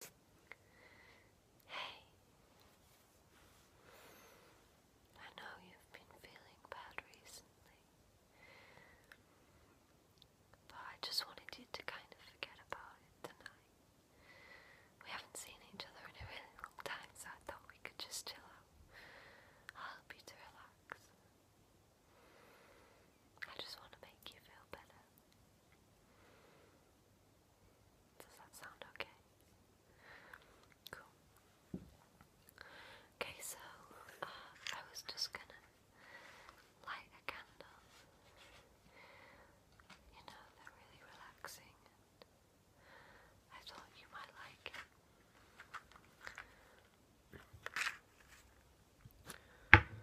Hey, I know you've been feeling bad recently, but I just wanted you to kind of forget about it tonight. We haven't seen each other in a really long time, so I thought we could just chill out. I'll help you to relax. I just want to make you feel better. Does that sound okay? Cool. Okay, so uh, I was just gonna light a candle. You know, they're really relaxing, I thought you might like it.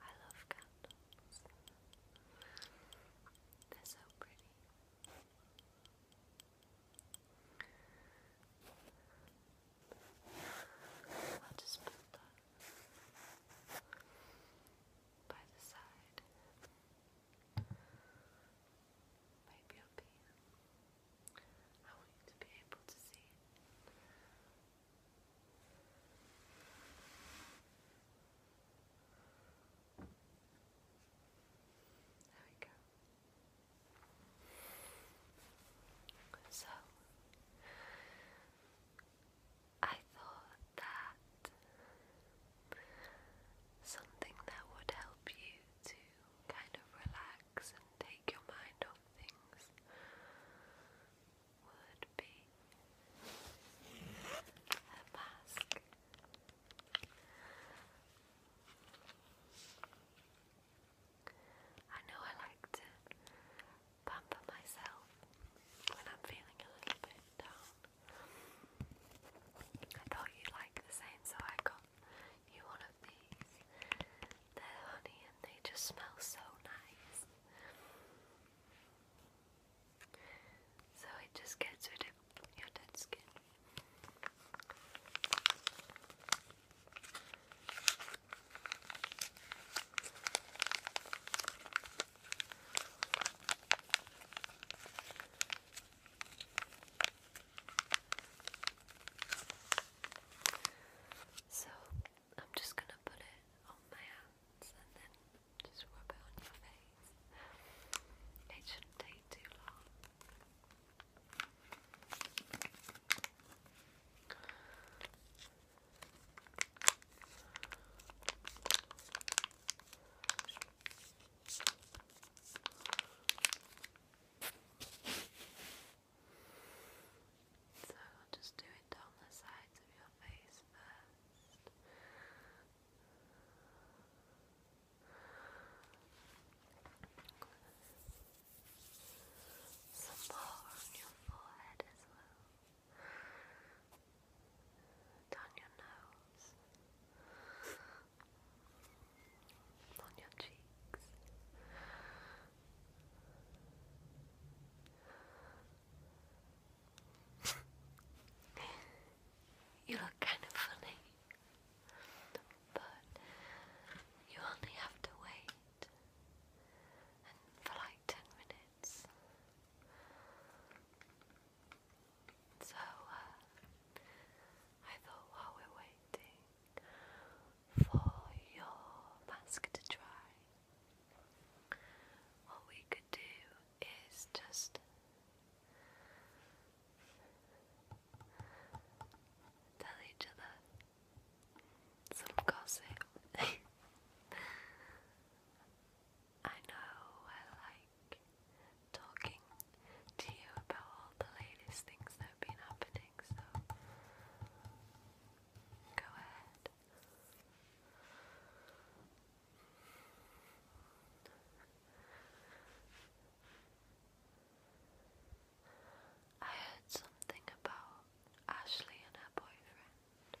I love candles. They're so pretty. I'll just put that by the side. Maybe up here. I want you to be able to see it. There we go. So, I thought that something that would help you to kind of relax and take your mind off things would be a mask. I know I like to pamper myself when I'm feeling a little bit down. I thought you'd like the same, so I got you one of these. They're honey and they just smell so nice. So it just gets rid of your dead skin. So I'm just going to put it on my hands and then just rub it on your face. It shouldn't take too long. So just do it down the sides of your face first. Some more on your forehead as well. Down your nose. On your cheeks. you look kind of funny, but you only have to wait for like ten minutes. So uh, I thought while we're waiting for your mask to dry, what we could do is just tell each other some gossip. I know I like talking to you about all the latest things that have been happening, so go ahead. I heard something about Ashley and her boyfriend.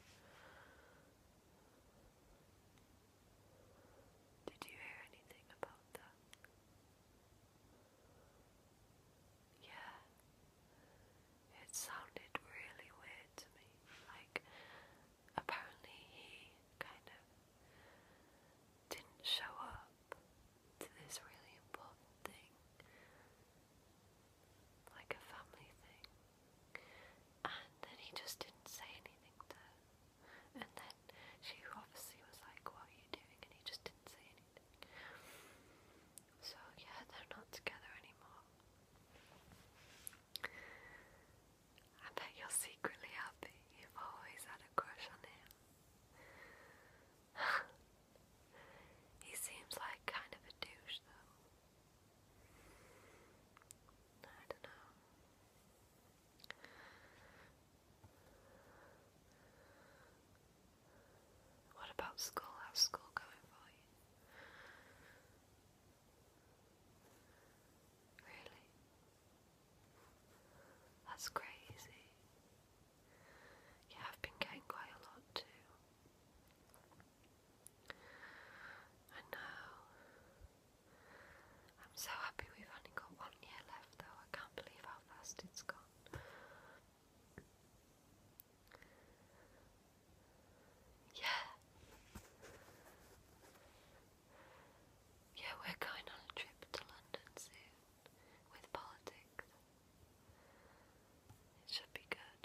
Did you hear anything about that? Yeah, it sounded really weird to me. Like, apparently he kind of didn't show up to this really important thing, like a family thing, and then he just didn't say anything to her. And then she obviously was like, What are you doing? And he just didn't say anything. So, yeah, they're not together anymore. I bet you're secretly happy you've always had a crush on him. he seems like kind of a douche, though. I don't know. What about school? How's school going for you? Really? That's crazy. Yeah, I've been getting quite a lot too. I know. I'm so happy we've only got one year left though. I can't believe how fast it's gone. Yeah. Yeah, we're going on a trip to London soon with politics. It should be good.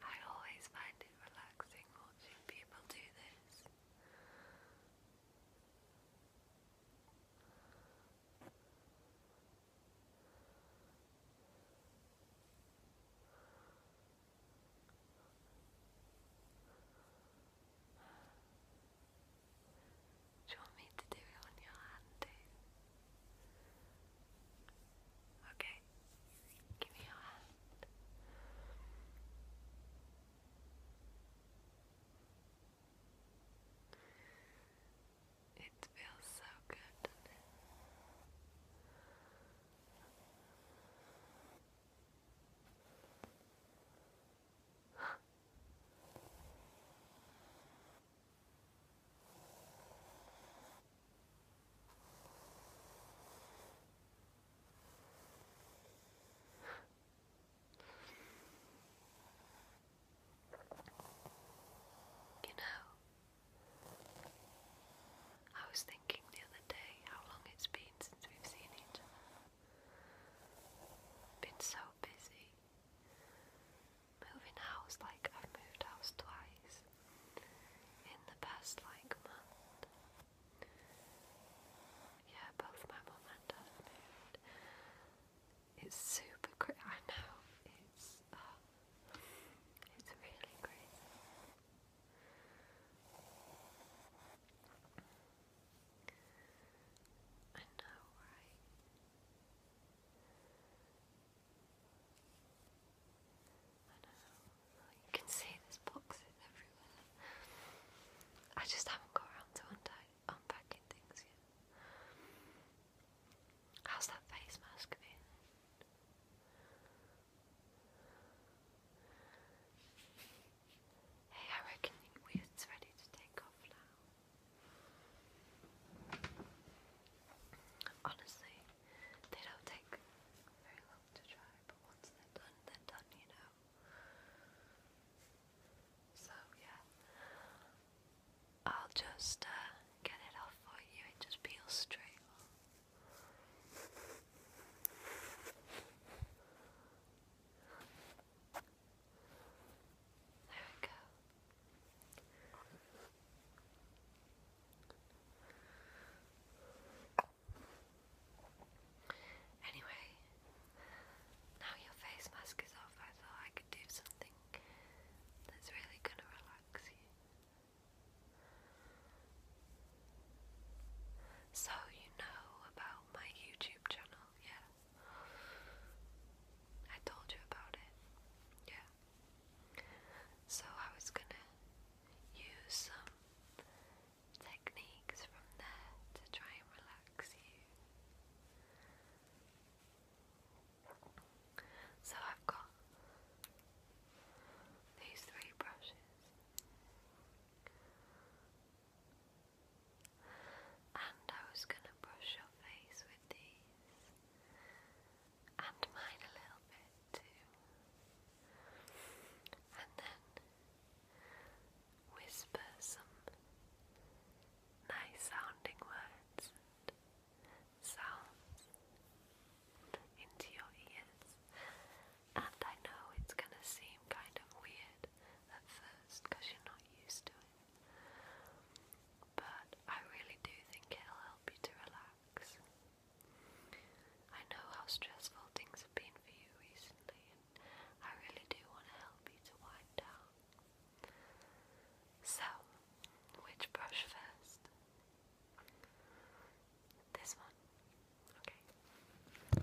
I always find it relaxing watching people do this. Do you want me to do it on your hand Okay, give me your hand. It feels so good. You know, I was thinking the other day how long it's been since we've seen each Been so busy. Moving house, like I've moved house twice in the past like month. Yeah, both my mum and dad It's super great. I know it's uh, it's really great. I know, right? I know. You can see there's boxes everywhere. I just haven't got around to untying How's that face mask been? Hey, I reckon it's ready to take off now. Honestly, they don't take very long to dry, but once they're done, they're done, you know. So yeah, I'll just uh, get it off for you. It just peels straight There we go. Anyway, now your face mask is off, I thought I could do something that's really gonna relax you. So, you know about my YouTube channel, yeah? I told you about it, yeah? So, I was gonna use some techniques from there to try and relax you. So I've got these three brushes, and I was going to brush your face with these, and mine a little bit too, and then whisper some nice sounding words and sounds into your ears. And I know it's gonna seem kind of weird at first because you're not used to it. But I really do think it'll help you to relax. I know how stressful things have been for you recently, I really do want to help you to wind down. So, which brush first? This one. Okay.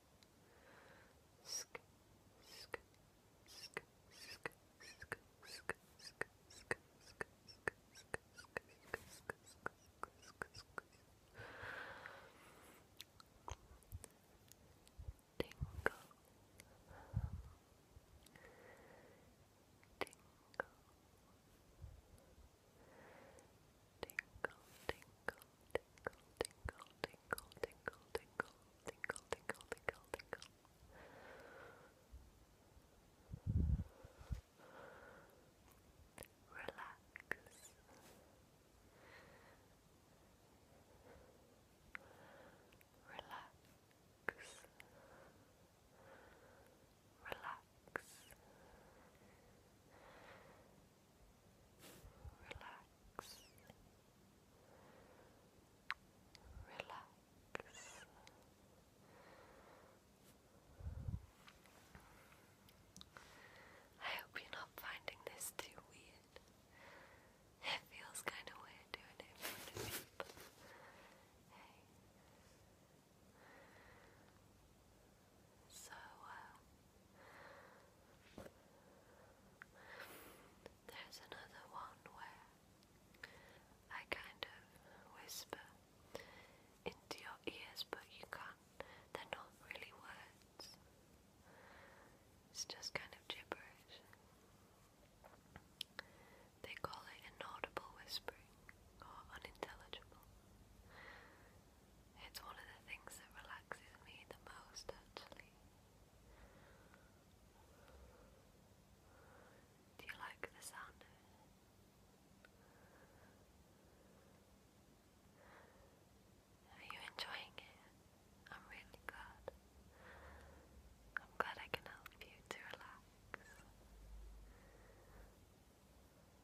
sk, sk, sk, sk, sk, sk, sk, sk, sk, Tingle. Tingle. Tinkle, tinkle, tinkle, tinkle, tinkle, tinkle, tinkle, tinkle, tinkle, tinkle, tinkle. Relax. Relax. Relax. Relax relax, relax. I hope you're not finding this too weird. It feels kind of weird doing it in front of so uh, There's another one where I kind of whisper into your ears, but you can't. They're not really words, it's just kind of gibberish. They call it inaudible whispering or unintelligible. It's one of the things that relaxes me the most, actually. Do you like the sound of it? Are you enjoying it? I'm really glad. I'm glad I can help you to relax.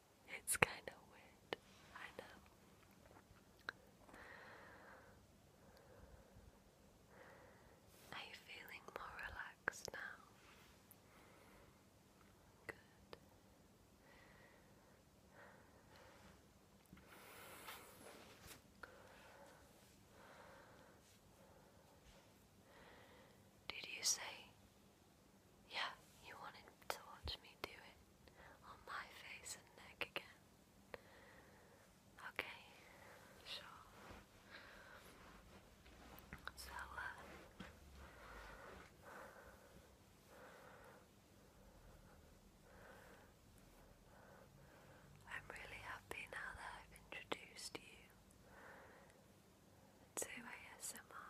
It's kind of weird, I know. Are you feeling more relaxed now? Good. Did you say, yeah, you wanted to watch me do it? on my face and neck again. Okay, sure. So, uh, I'm really happy now that I've introduced you to ASMR.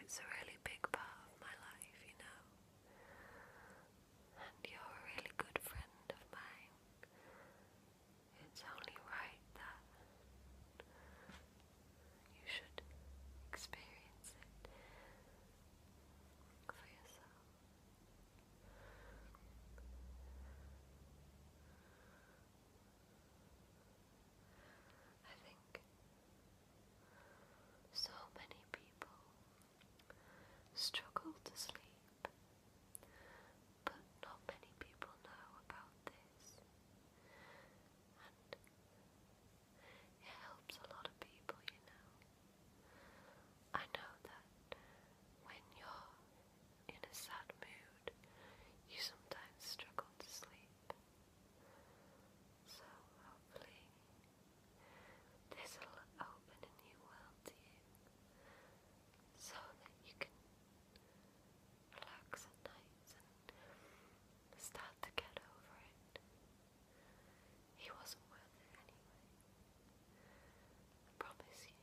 It's a really big part of my life, you know. And you're a really good friend of mine. It's only right that you should experience it for yourself. I think so many people struggle to sleep, but not many people know about this, it helps a lot of people, you know. I know that when you're in a sad mood, you sometimes struggle to sleep. So hopefully this will open a new world to you so that you can relax at night and start to get over it. He wasn't worth it anyway. promise you.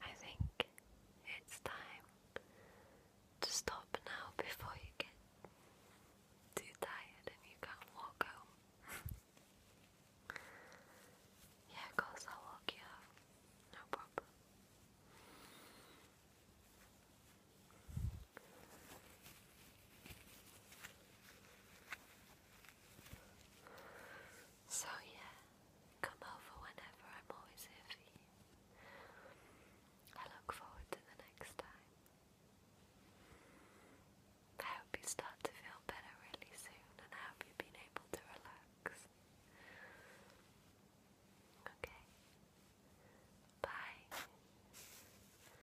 I think it's time to stop now before you get too tired and you can't walk home. yeah, of course, I'll walk you home. No problem. So, yeah, come over whenever I'm always here I look forward to the next time. I hope you start to feel better really soon, and I hope you've been able to relax. Okay. Bye.